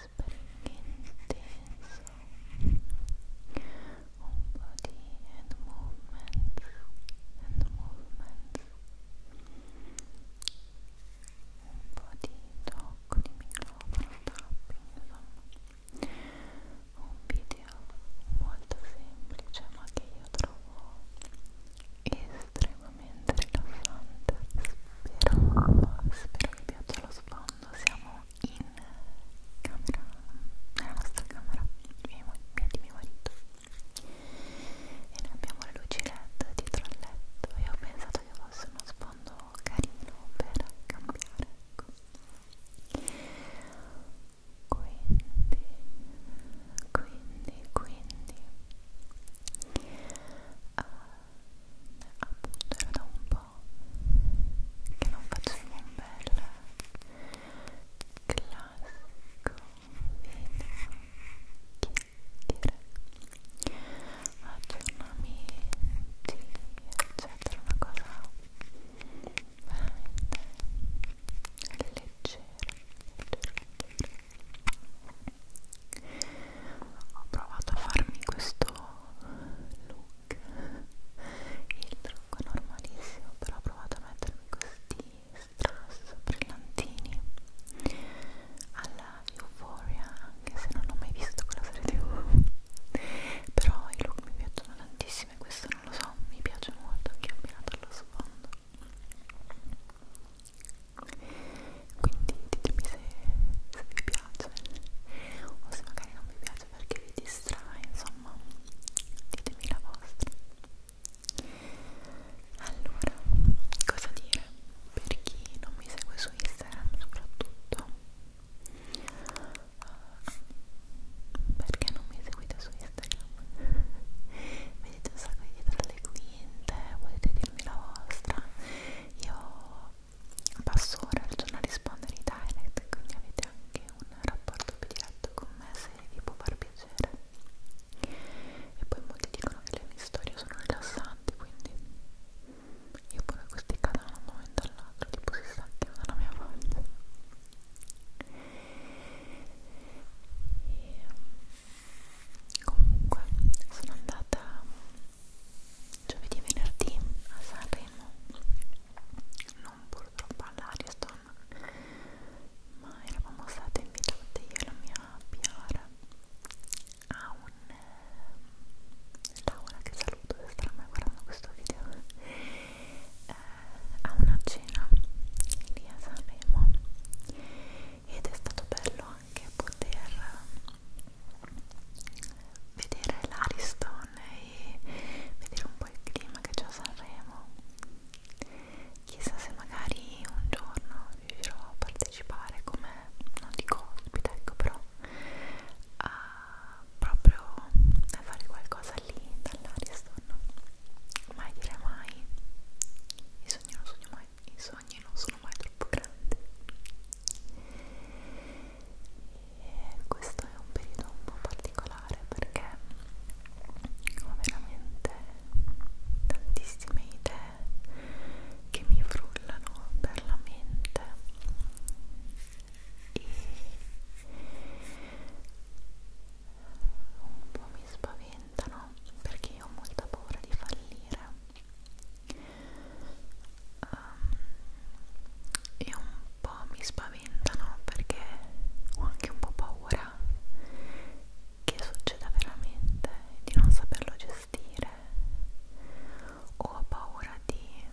intenso un po' di hand movements hand movements un po' di tocco di microfono tapping insomma un video molto semplice ma che io trovo estremamente rilassante spero, spero che piaccia lo sfondo siamo in camera, nella nostra camera mia di mio marito e noi abbiamo le luci LED dietro al letto e ho pensato che fosse uno sfondo carino per cambiare ecco quindi, quindi, quindi, uh, appunto era da un po' po' che non facevo un bel classico video chiacchiere aggiornamenti eccetera una cosa veramente leggera, leggera, leggera ho provato a farmi questo look look il trucco è normalissimo però ho provato a mettermi questi strass brillantini alla Euphoria anche se non ho mai visto quella serie tv però i look mi piacciono tantissimo e questo non lo so, mi piace molto anche abbinato allo sfondo quindi ditemi se, se vi piace piace o se magari non vi piace perché vi distrae insomma ditemi la vostra allora cosa dire per chi non mi segue su Instagram soprattutto uh, perché non mi seguite su Instagram vedete un sacco di dietro le quinte volete dirmi la vostra io passo ora al giorno a rispondere ai direct quindi avete anche un rapporto più diretto con me se vi può far piacere e poi molti dicono che le mie storie sono rilassanti quindi io pure questi cadono da un momento all'altro tipo si stacchino dalla mia faccia e comunque sono andata giovedì e venerdì a Sanremo non purtroppo all'Ariston ma eravamo state invitate io e la mia PR a un eh, Laura che saluto se starà mai guardando questo video eh, a una cena lì a Sanremo ed è stato bello anche poter vedere l'Ariston e vedere un po' il clima che c'è a Sanremo chissà se magari un giorno riuscirò a partecipare come non dico ospite ecco però a proprio a fare qualcosa lì dall'Ariston mai dire mai i sogni non sogno mai i sogni non sono sono mai troppo grandi e questo è un periodo un po' particolare perché ho veramente tantissime idee che mi frullano per la mente e un po' mi spaventano perché io ho molta paura di fallire um, ehm, e un po' mi spaventano perché ho anche un po' paura che succeda veramente di non saperlo gestire o ho paura di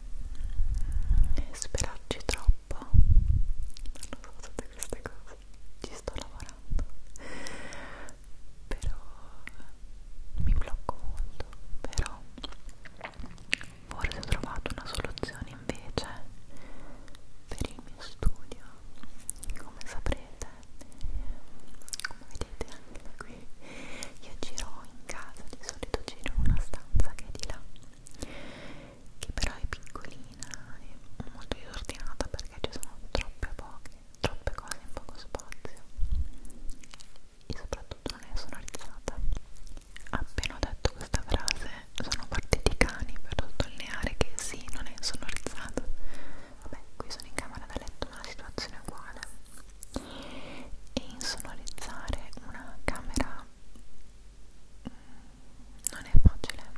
mm, sperarci troppo non lo so tutte queste cose ci sto lavorando però mi blocco molto però però forse ho trovato una soluzione invece per il mio studio come saprete come vedete anche da qui io giro in casa di solito giro in una stanza che è di là che però è piccolina e molto disordinata perché ci sono troppe poche troppe cose in poco spazio e soprattutto non è sonorizzata. Appena ho detto questa frase sono partiti i cani per sottolineare che sì, non è sonorizzata. Vabbè, qui sono in camera da letto, ma la situazione è uguale. E insonorizzare una camera mm, non è facile,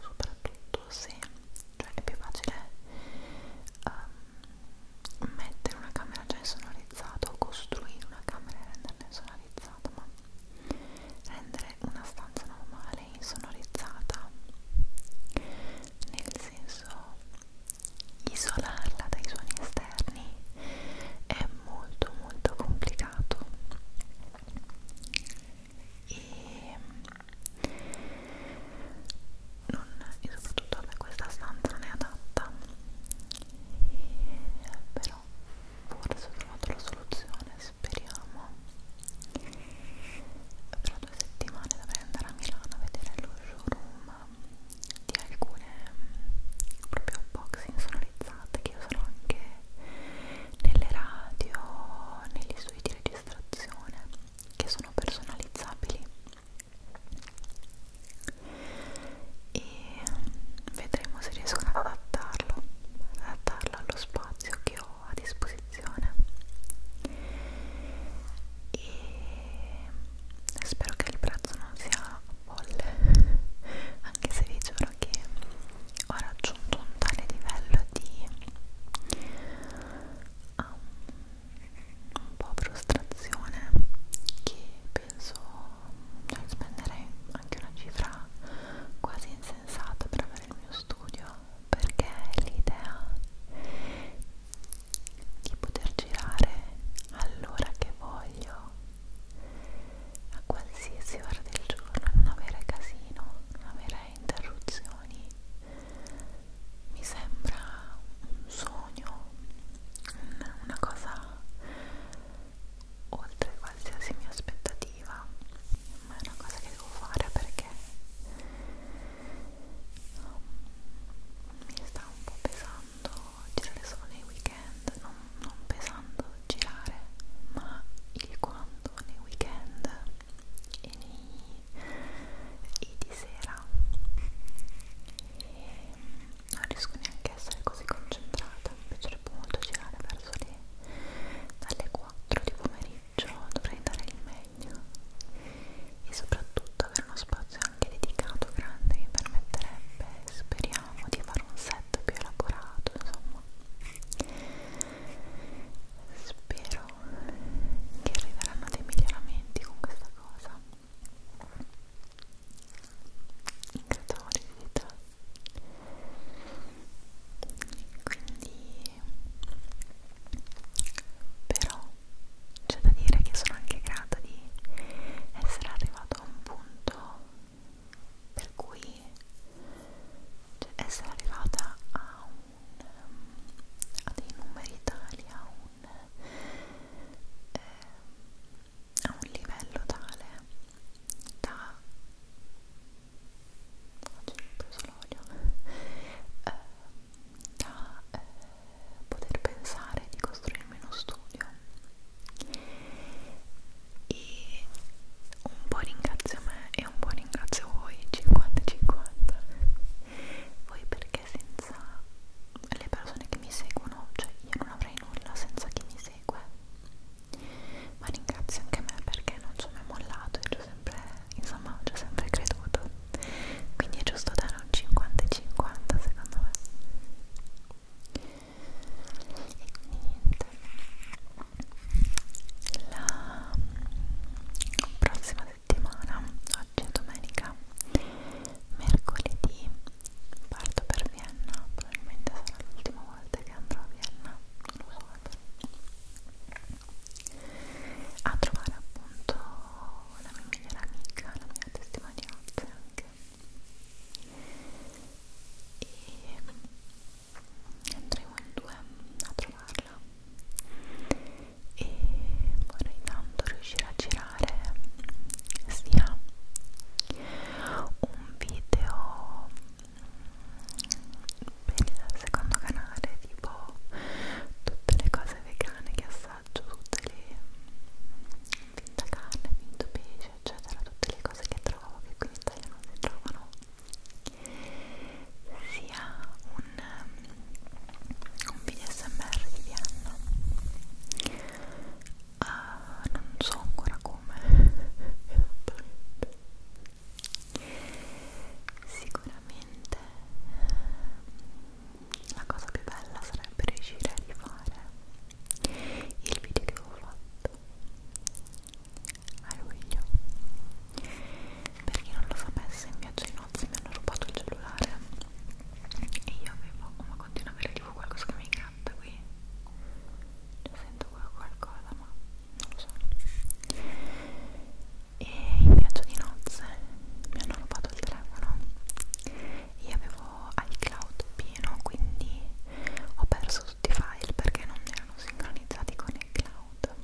soprattutto se, cioè è più facile um, mettere una camera già insonorizzata o costruire una camera e renderla insonorizzata, ma rendere una stanza normale insonorizzata nel senso isolarla dai suoni esterni è molto molto complicato e non, e soprattutto a me questa stanza non è adatta e, però forse ho trovato la soluzione speriamo fra due settimane dovrei andare a Milano a vedere lo showroom di alcune mm, proprio boxing sonorizzate che usano anche nelle radio negli studi di registrazione che sono personalizzabili e vedremo se riesco ad adattarlo, adattarlo allo spazio che ho a disposizione e spero che il prezzo non sia folle anche se vi giuro che ho raggiunto un tale livello di um, un po' frustrazione che penso cioè, spenderei anche una cifra quasi insensata per avere il mio studio perché l'idea di poter girare all'ora che voglio a qualsiasi ora del giorno non avere casino non avere interruzioni mi sembra un sogno, una cosa oltre qualsiasi mia aspettativa, ma è una cosa che devo fare perché um, mi sta un po' pesando girare solo nei weekend, non, non pesando girare, ma il quando nei weekend e nei e di sera e non riesco neanche a essere così concentrata mi piacerebbe molto girare verso le dalle 4 di pomeriggio dovrei dare il meglio e soprattutto avere uno spazio anche dedicato grande mi permetterebbe speriamo di fare un set più elaborato insomma spero che arriveranno dei miglioramenti con questa cosa incantevole vita quindi però c'è da dire che sono anche grata di essere arrivato a un punto per cui cioè essere arrivata a, un, ehm, a dei numeri tali a un eh, a un livello tale da oggi ho preso l'olio eh, da eh, poter pensare di costruirmi uno studio e un po' ringrazio me e un po' ringrazio voi 50-50 voi perché perché senza le persone che mi seguono, cioè io non avrei nulla senza chi mi segue. Ma ringrazio anche me perché non ci ho mai mollato e ci ho sempre, insomma, ci ho sempre creduto. Quindi è giusto dare un 50 e 50 secondo me. E quindi niente. La mm, prossima settimana settimana, oggi è domenica, mercoledì parto per Vienna, probabilmente sarà l'ultima volta che andrò a Vienna, non lo so, a trovare appunto la mia migliore amica, la mia testimonianza anche. E andremo in due a trovarla e vorrei tanto riuscire a girare sia un video per il secondo canale tipo tutte le cose vegane che assaggio tutte le finta carne, finto pesce eccetera tutte le cose che trovo che qui in Italia non si trovano sia un, un video smr di Vienna uh, non so ancora come esattamente sicuramente ehm, la cosa più bella sarebbe riuscire a rifare il video che avevo fatto a luglio per chi non lo sapesse in viaggio di nozze mi hanno rubato il cellulare e io avevo, oh, ma continua a avere tipo qualcosa che mi ingratta qui sento qualcosa ma non lo so e in viaggio di nozze mi hanno rubato il telefono io avevo iCloud pieno quindi ho perso tutti i file perché non erano sincronizzati con iCloud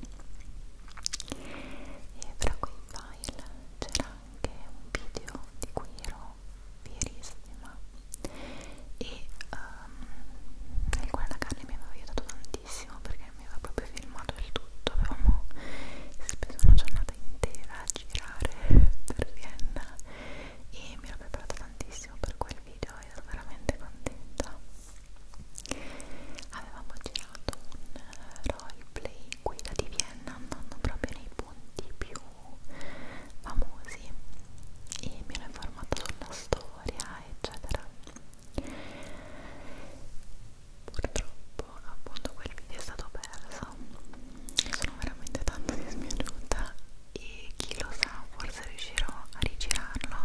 e tra quei file c'era anche un video di cui ero fierissima e um, nel quale la Carly mi aveva aiutato tantissimo perché mi aveva proprio filmato il tutto avevamo speso una giornata intera a girare per Vienna e mi ero preparata tantissimo per quel video e ero veramente contenta avevamo girato un eh, roleplay guida di Vienna andando proprio nei punti più famosi e mi ero informata sulla storia eccetera purtroppo appunto quel video è stato perso sono veramente tanto dispiaciuta e chi lo sa forse riuscirò a rigirarlo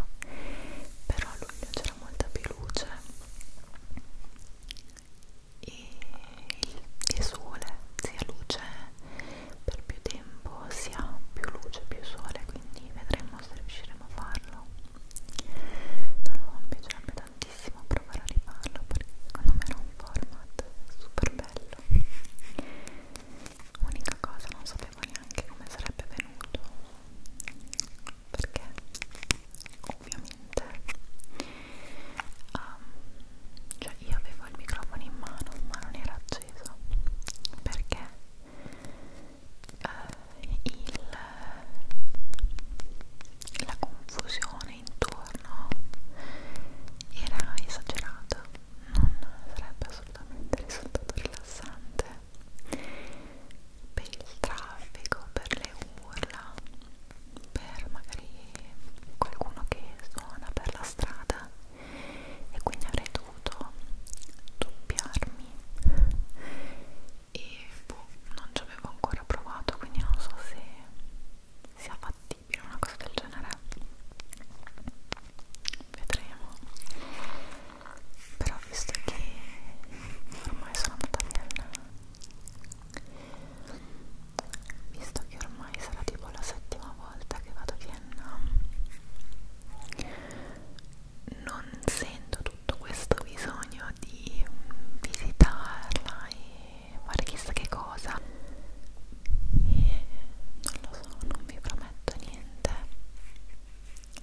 però a luglio c'era molta più luce e il sole sia luce per più tempo sia più luce più sole quindi vedremo se riusciremo a farlo no, mi piacerebbe tantissimo provare a rifarlo perché secondo me era un format super bello unica cosa non sapevo neanche come sarebbe venuto perché ovviamente um, cioè io avevo il microfono in mano ma non era acceso perché uh, il, la confusione intorno era esagerata non sarebbe assolutamente risultato rilassante per il traffico, per le urla, per magari qualcuno che suona per la strada e quindi avrei dovuto doppiarmi e boh, non ci avevo ancora provato quindi non so se sia fattibile una cosa del genere vedremo però visto che ormai sono andata via visto che ormai sarà tipo la settima volta che vado a Vienna non sento tutto questo bisogno di visitarla e fare chissà che cosa e non lo so, non vi prometto niente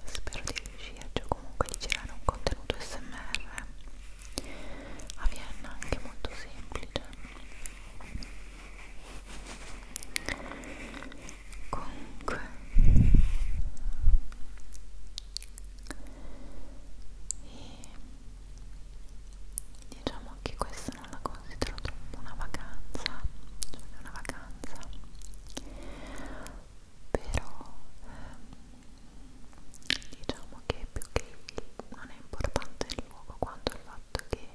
spero di riesce o comunque di girare un contenuto smr a Vienna anche molto semplice comunque e diciamo che questa non la considero troppo una vacanza cioè una vacanza però ehm, diciamo che più che non è importante il luogo quanto il fatto che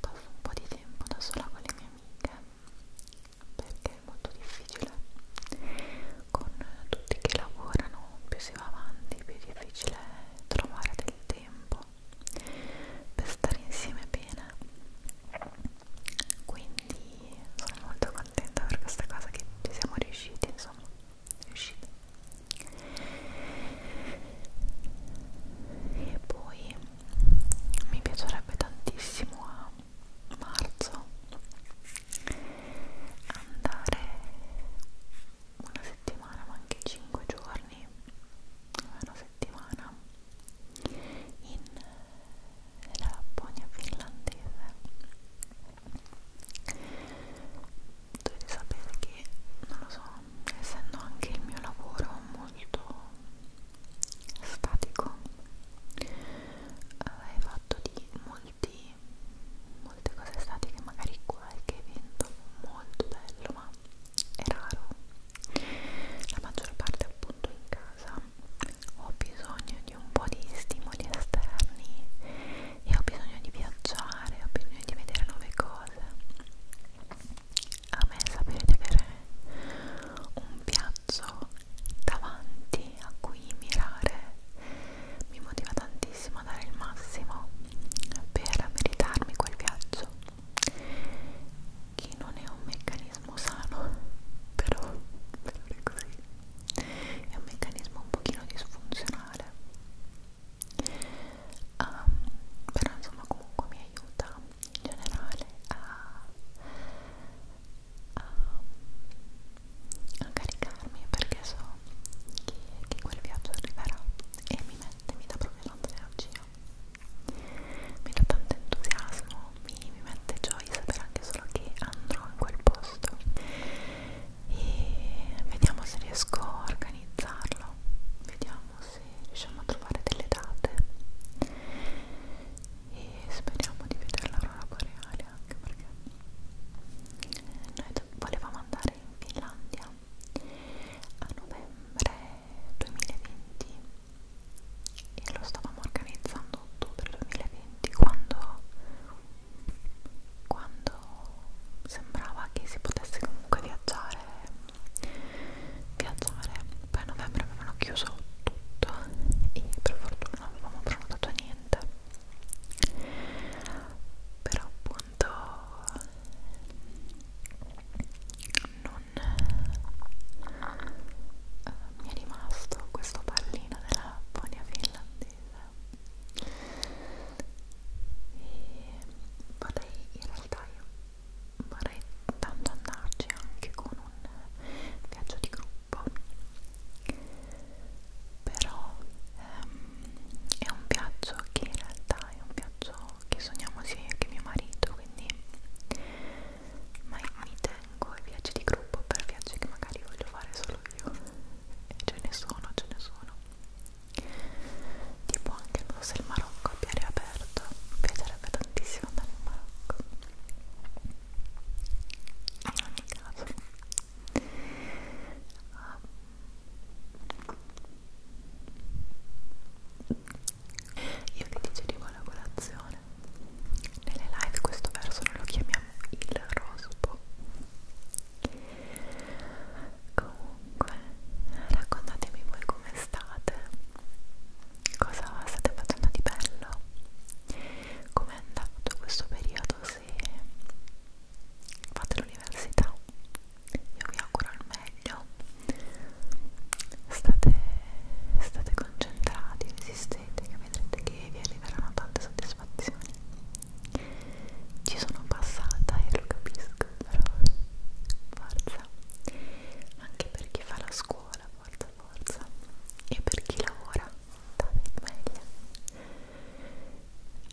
passo un po' di tempo da sola con le mie amiche perché è molto difficile con tutti che lavorano più si va avanti più è difficile trovare del tempo per stare insieme bene quindi sono molto contenta per questa cosa che ci siamo riusciti insomma riusciti e poi mi piacerebbe tantissimo a marzo andare una settimana ma anche 5 giorni una settimana in della Lapponia finlandese dovete sapere che non lo so essendo anche il mio lavoro molto statico è eh, fatto di molti molte cose statiche magari qualche evento molto bello ma è raro la maggior parte appunto in casa ho bisogno di un po' di stimoli esterni e ho bisogno di viaggiare, ho bisogno di vedere nuove cose. A me sapere di avere un viaggio davanti a cui mirare mi motiva tantissimo a dare il massimo per meritarmi quel viaggio che non è un meccanismo sano però, però è così è un meccanismo un pochino disfunzionale um, però insomma comunque mi aiuta in generale a, a, a caricarmi perché so che, che quel viaggio arriverà e mi mette, mi dà proprio tanta energia mi dà tanto entusiasmo mi, mi mette gioia sapere anche solo che andrò in quel posto e vediamo se riesco a organizzarlo vediamo se riusciamo a trovare delle date e speriamo di vedere l'aurora boreale anche perché noi volevamo andare in Finlandia a novembre 2020 e lo stavamo organizzando ottobre 2020 momenti quando, quando sembrava che si potesse comunque viaggiare viaggiare poi a novembre avevano chiuso tutto e per fortuna non avevamo prenotato niente però appunto non eh, mi è rimasto questo pallino nella la ponia finlandese e vorrei in realtà io vorrei tanto andarci anche con un viaggio di gruppo però ehm, è un viaggio che in realtà è un viaggio che sogniamo sia io che mio marito quindi ma mi tengo ai viaggi di gruppo per viaggi che magari voglio fare solo io e ce ne sono, ce ne sono tipo anche non so se il Marocco abbia riaperto mi piacerebbe tantissimo andare in Marocco in ogni caso um, io vi dicevo la colazione nelle live questo verso noi lo chiamiamo il rospo. Comunque, raccontatemi voi come state, cosa state facendo di bello, com'è andato questo periodo se fate l'università. Io vi auguro il meglio. State, state concentrati, resistete leggete che vedrete che vi arriveranno tante soddisfazioni ci sono passata e lo capisco però forza anche per chi fa la scuola forza forza e per chi lavora dai meglio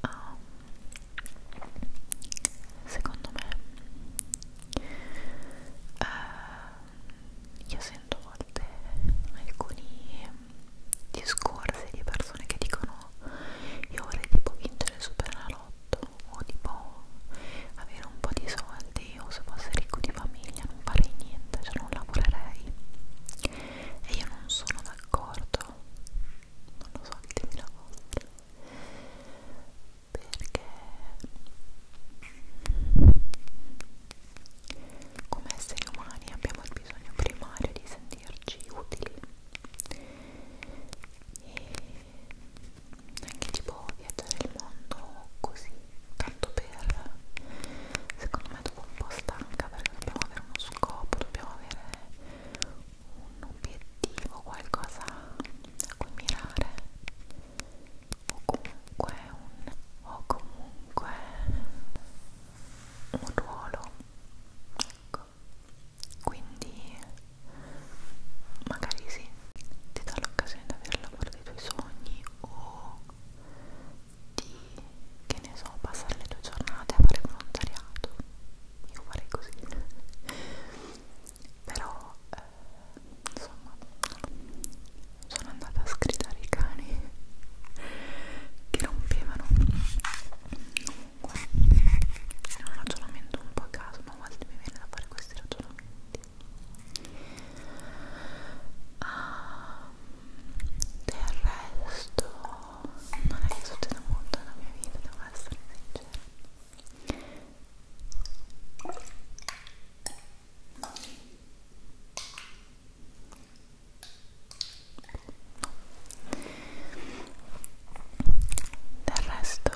um, secondo me uh, io sento a volte alcuni discorsi di persone che dicono io vorrei tipo vincere il superalotto o tipo avere un po' di soldi o se fosse ricco di famiglia non farei niente, cioè non lavorerei e io non sono d'accordo non lo so, ditemela volte perché come esseri umani abbiamo il bisogno primario di sentirci utili e anche tipo viaggiare il mondo così, tanto per secondo me dopo un po' stanca perché dobbiamo avere uno scopo, dobbiamo avere un obiettivo, qualcosa a cui mirare o comunque un o comunque un ruolo ecco quindi magari sì ti dà l'occasione di aver lavoro dei tuoi sogni o di che ne so passare le tue giornate a fare volontariato io farei così però eh, insomma sono andata a sgridare i cani che rompevano comunque è un ragionamento un po' a caso ma a volte mi viene da fare questi ragionamenti ah, del resto non è che succeda molto nella mia vita devo essere sincera del resto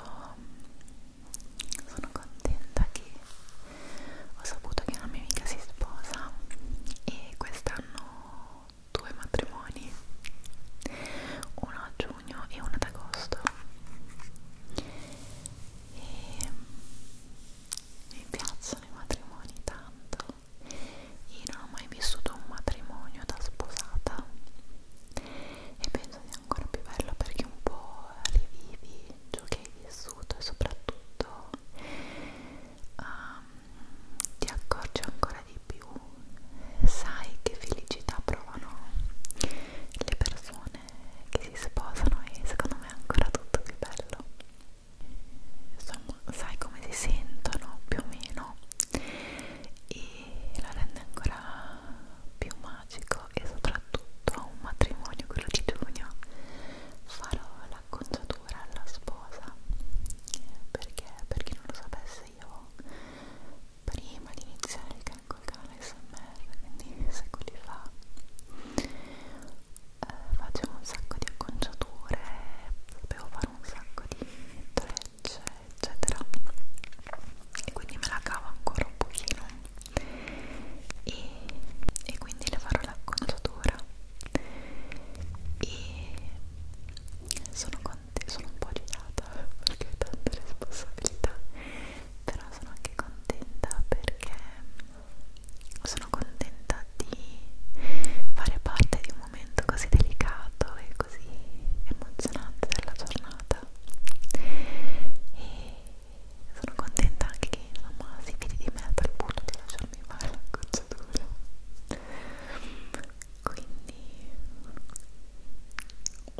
sono contenta che ho saputo che una mia amica si sposa e quest'anno due matrimoni, uno a giugno e uno ad agosto. E mi piacciono i matrimoni tanto io non ho mai vissuto un matrimonio da sposata e penso sia ancora più bello perché un po' rivivi ciò che hai vissuto e soprattutto um, ti accorgi ancora di più sai che felicità provano le persone che si sposano e secondo me è ancora tutto più bello insomma sai come si sentono più o meno e lo rende ancora più magico e soprattutto a un matrimonio quello di giugno farò l'acconciatura alla sposa perché per chi non lo sapesse io prima di iniziare il canale SMR ASMR, quindi secoli fa eh, facevo un sacco di acconciature, sapevo fare un sacco di trecce, eccetera e quindi me la cavo ancora un pochino e, e quindi le farò l'acconciatura e sono contenta, sono un po' agitata perché ho tanta responsabilità però sono anche contenta perché sono contenta di fare parte di un momento così delicato e così emozionante della giornata e sono contenta anche che mamma si fidi di me a tal punto di lasciarmi fare la gocciatura quindi molto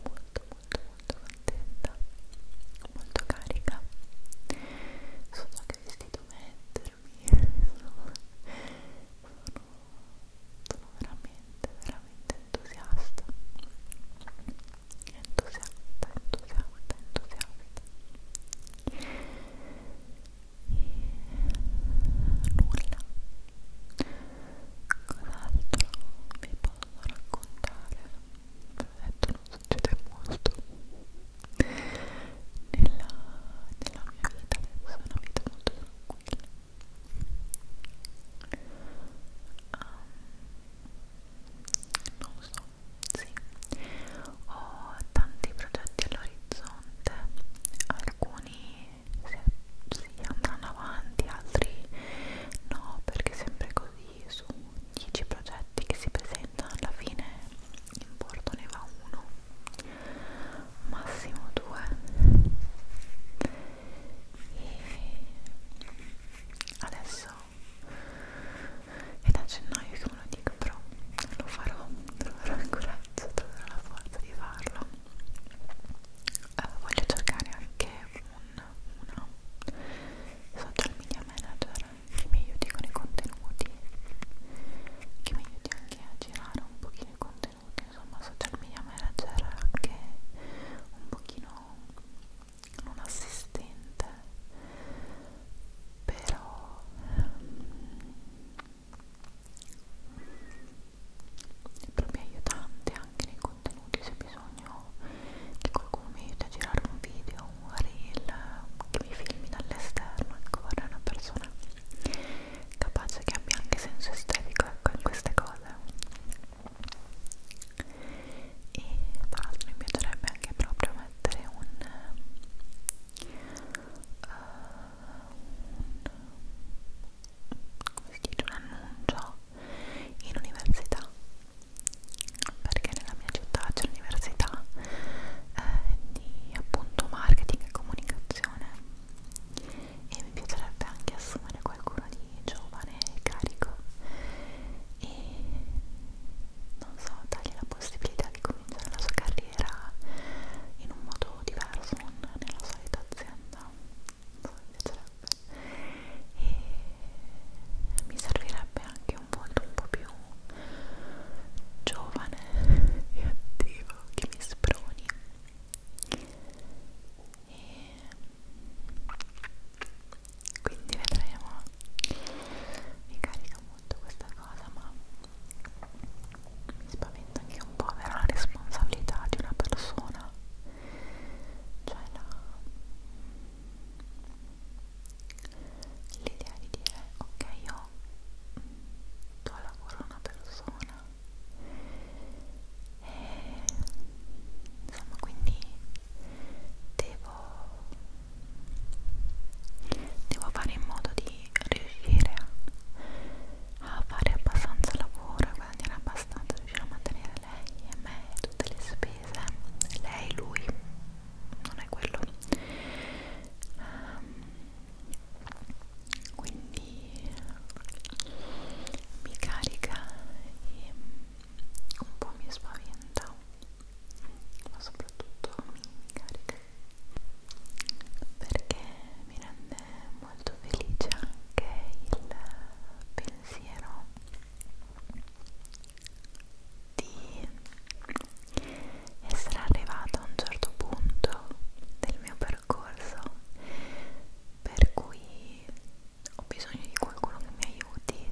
molto molto contenta, molto carica. So già che vestito mettermi, sono, sono, sono veramente, veramente entusiasta. Entusiasta, entusiasta, entusiasta. E nulla. Cos'altro vi posso raccontare? detto non succede molto nella, nella mia vita adesso è una vita molto tranquilla um, non so, sì ho tanti progetti all'orizzonte alcuni si andranno avanti, altri no perché sempre così su 10 progetti che si presentano alla fine in porto ne va uno massimo due e adesso è da gennaio che me lo dico però lo farò troverò il coraggio troverò la forza di farlo uh, voglio cercare anche un, una social media manager che mi aiuti con i contenuti che mi aiuti anche a girare un pochino i contenuti insomma social media manager anche un pochino un assistente però um, proprio aiutante anche nei contenuti se bisogna bisogno che qualcuno mi aiuti a girare un video, un reel, che mi filmi dall'esterno, ecco vorrei una persona capace che abbia anche senso estetico ecco, in queste cose e tra l'altro mi piacerebbe anche proprio mettere un, uh, un come si dice un annuncio in università perché nella mia città c'è l'università eh, di appunto marketing e comunicazione e mi piacerebbe anche assumere qualcuno di giovane e carico e non so, dargli la possibilità di cominciare la sua carriera in un modo diverso, non nella solita azienda non so, mi piacerebbe e mi servirebbe anche un volto un po' più giovane e attivo che mi sproni e quindi vedremo mi carica molto questa cosa ma mi spaventa anche un po' avere la responsabilità di una persona cioè la l'idea di dire ok io do mm, lavoro a una persona e insomma quindi devo devo fare in modo di riuscire a, a fare abbastanza lavoro a guadagnare abbastanza riuscire a mantenere lei e me e tutte le spese spese lei, lui non è quello um, quindi mi carica e un po' mi spaventa ma soprattutto mi carica perché mi rende molto felice anche il pensiero di essere arrivata a un certo punto del mio percorso per cui ho bisogno di qualcuno che mi aiuti,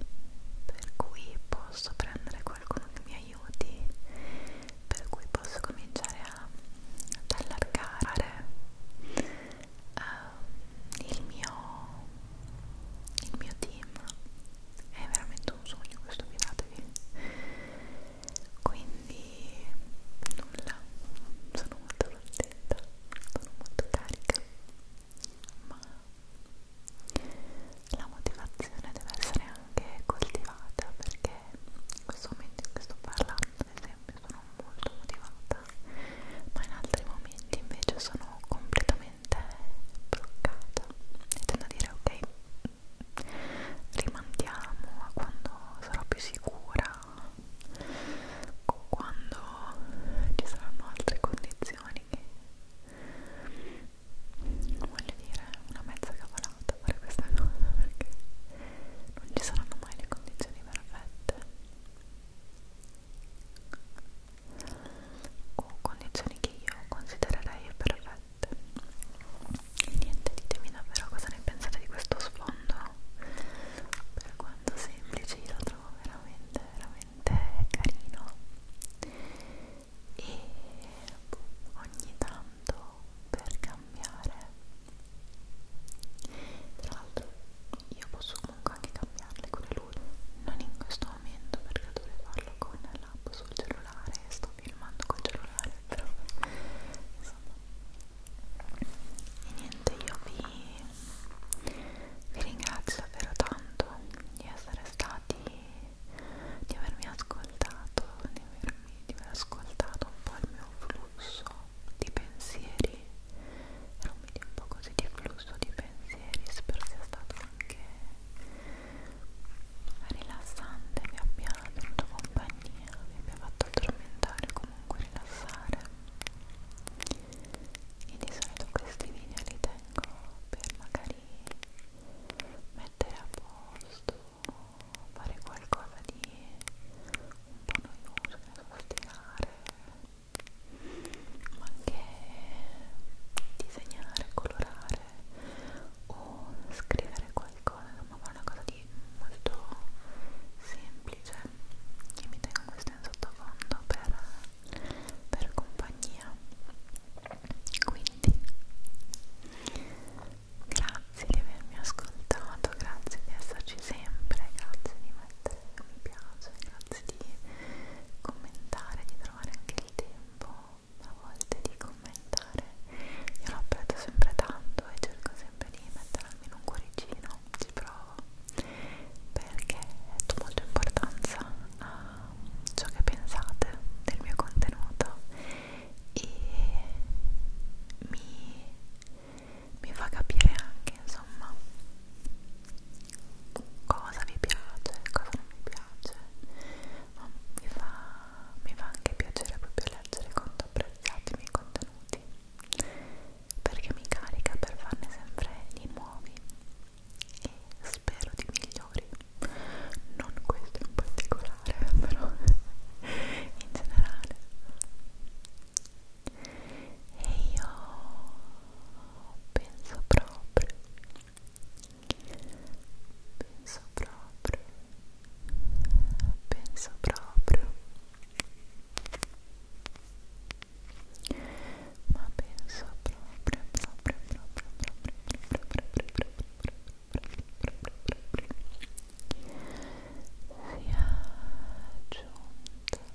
per cui posso prendere qualcuno che mi aiuti, per cui posso cominciare a ad allargare, a il mio, il mio team è veramente un sogno questo fidatevi quindi nulla sono molto contenta sono molto carica ma la motivazione deve essere anche coltivata perché in questo momento in cui sto parlando ad esempio sono molto motivata giornata ma in altri momenti invece sono completamente bloccata e tendo a dire ok rimandiamo a quando sarò più sicura quando ci saranno altre condizioni che voglio dire una mezza cavolata fare questa cosa perché non ci saranno mai le condizioni perfette o condizioni che io considererei perfette niente ditemi davvero cosa ne pensate di questo sfondo per quanto semplice io lo trovo veramente veramente carino e boh, ogni tanto per cambiare tra l'altro io posso comunque anche cambiarle, quello è includo non in questo momento perché dovrei farlo con l'app sul cellulare e sto filmando col cellulare però insomma e niente io vi, vi ringrazio davvero tanto di essere stati di avermi ascoltato di, avermi, di aver ascoltato un po' il mio flusso di pensieri era un video un po' così di flusso di pensieri spero sia stato anche rilassante vi abbia tenuto compagnia vi abbia fatto addormentare comunque rilassare e di solito questi video li tengo per magari mettere a posto fare qualcosa di un po' noioso, stirare ma anche disegnare, colorare o scrivere qualcosa, insomma fare una cosa di molto semplice e mi tengo questo in sottofondo per, per compagnia quindi grazie di avermi ascoltato grazie di esserci sempre grazie di mettere mi piace grazie di commentare, di trovare anche il tempo a volte di commentare. Io lo apprezzo sempre tanto e cerco sempre di mettere almeno un cuoricino, ci provo, perché do molta importanza a ciò che pensate del mio contenuto e mi, mi fa capire anche, insomma, cosa vi piace, cosa non vi piace, ma mi fa, mi fa anche piacere proprio leggere quanto apprezzate i miei contenuti perché mi carica per farne sempre di nuovi e spero di migliori non questo in particolare però in generale e io penso proprio penso proprio penso proprio ma penso proprio proprio proprio proprio proprio proprio proprio proprio sia giunta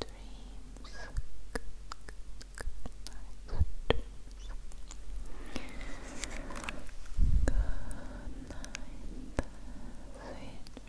dreams. Good, good, good night. Good night. Sweet dreams. Good night. Good night. Good night.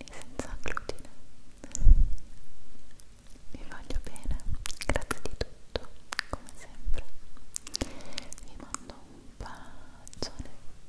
senza glutine vi voglio bene grazie di tutto come sempre vi mando un bacione Ciao